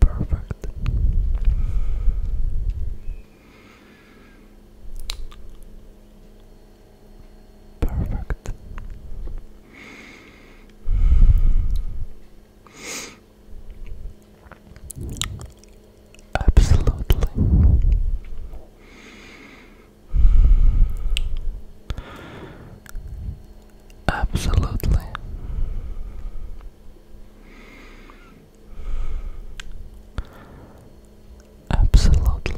Perfect. Perfect. Absolutely. Absolutely. Absolutely.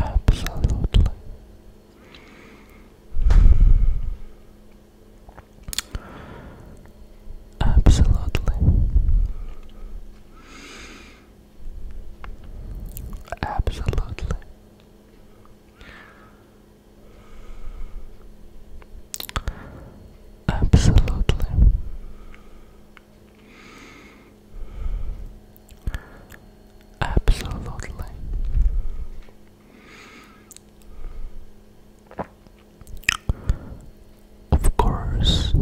Absolutely. Absolutely. Absolutely. Absolutely. Absolutely. Of course.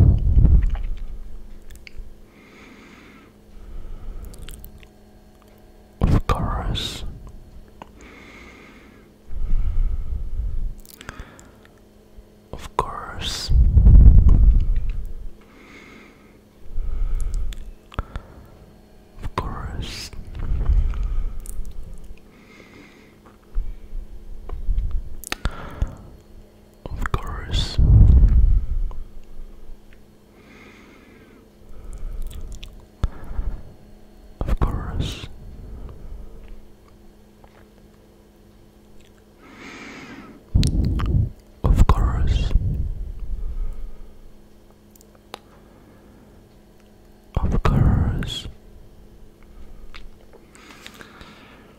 Of course. Of course. Of course. Of course. Of course. Of course. Of course.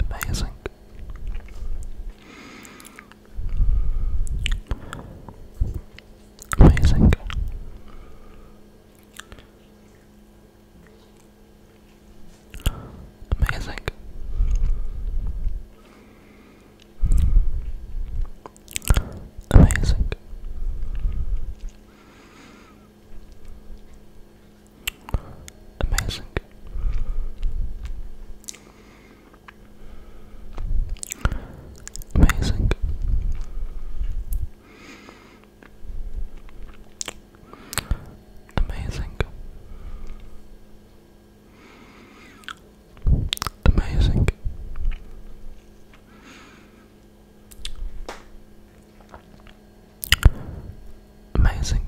Amazing. Amazing. Amazing. Amazing. Amazing. Amazing. Amazing. Amazing. Amazing.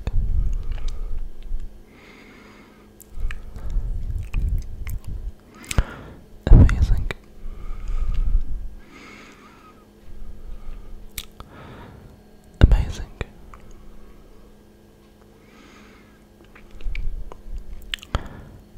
Amazing. Amazing.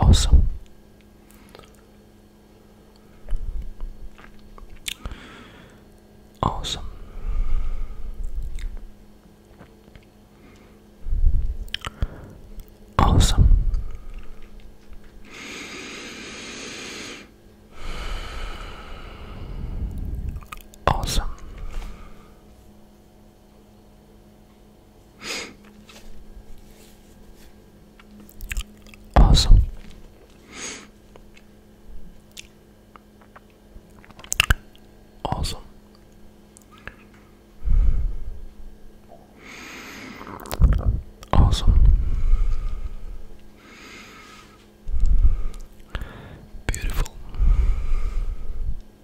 Awesome. Awesome. Awesome. Awesome. Awesome. Awesome. Awesome. Beautiful.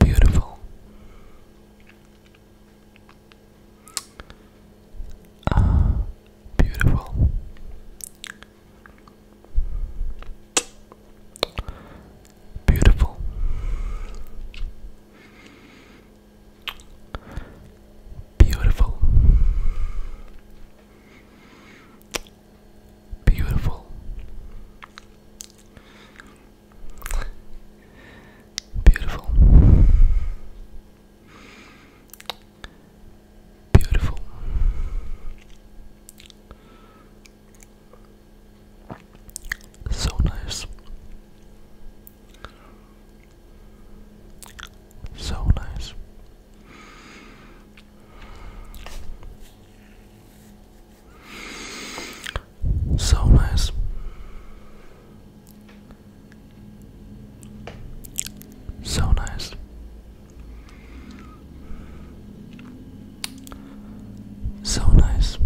Beautiful. Ah, beautiful. Beautiful. Beautiful. Beautiful. Beautiful. Beautiful. So nice. So nice. So nice. So nice. So nice.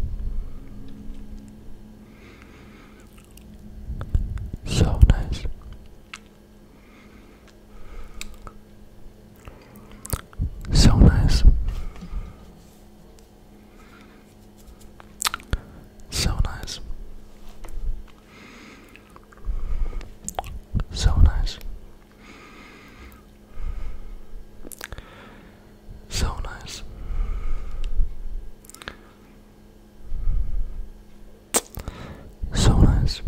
So nice. So nice. So nice. So nice. So nice. So nice.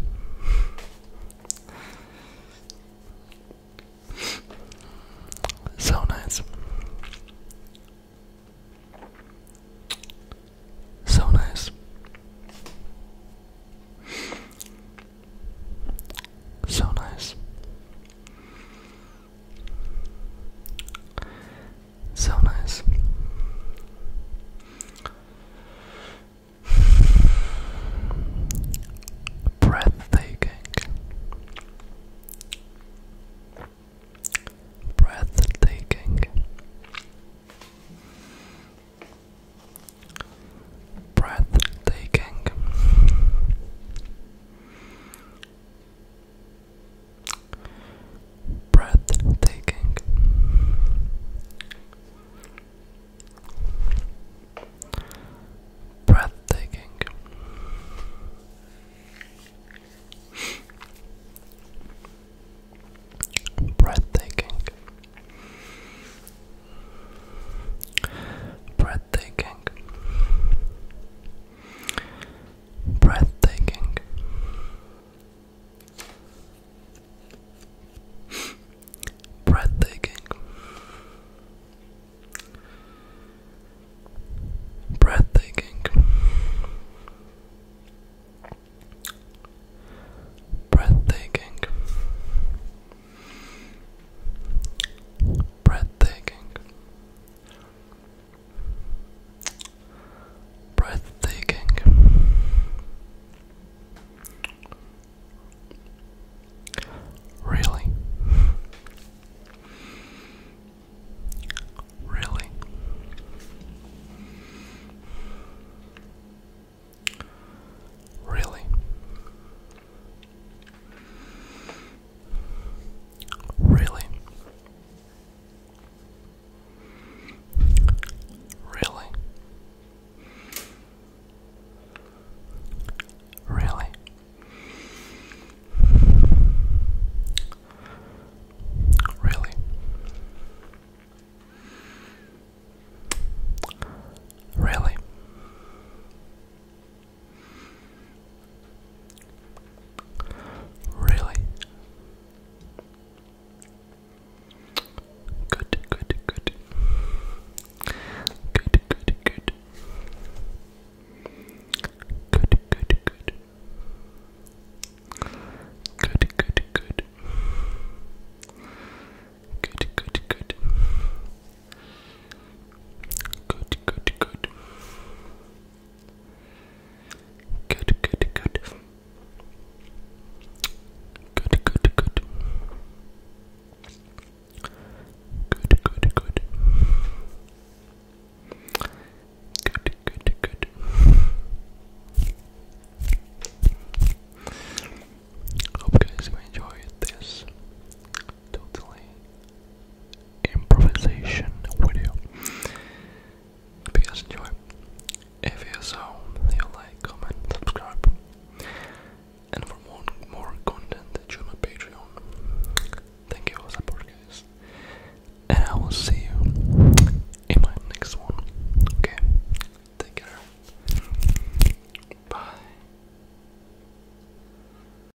So nice. So nice. So nice. So nice. Breathtaking. Breathtaking. Breathtaking breathtaking. Breathtaking. Breathtaking. Breathtaking. Breathtaking breathtaking, breathtaking, breathtaking, breathtaking breathtaking. Really? Really? Really? Really? Really? Really? Really? Really? Really? Good, good, good. Good, good, good. Good, good, good. Good, good, good. Good, good, good. Good, good, Good, good, good. Good, good, good. Good, good, good. Good, good, good. Hope guys you enjoyed this totally improvisation video. Hope you guys enjoy. If you so, leave like, comment, subscribe. And for more more content join my Patreon. Thank you for support guys. And I will see you in my next one. Okay. Take care. Bye.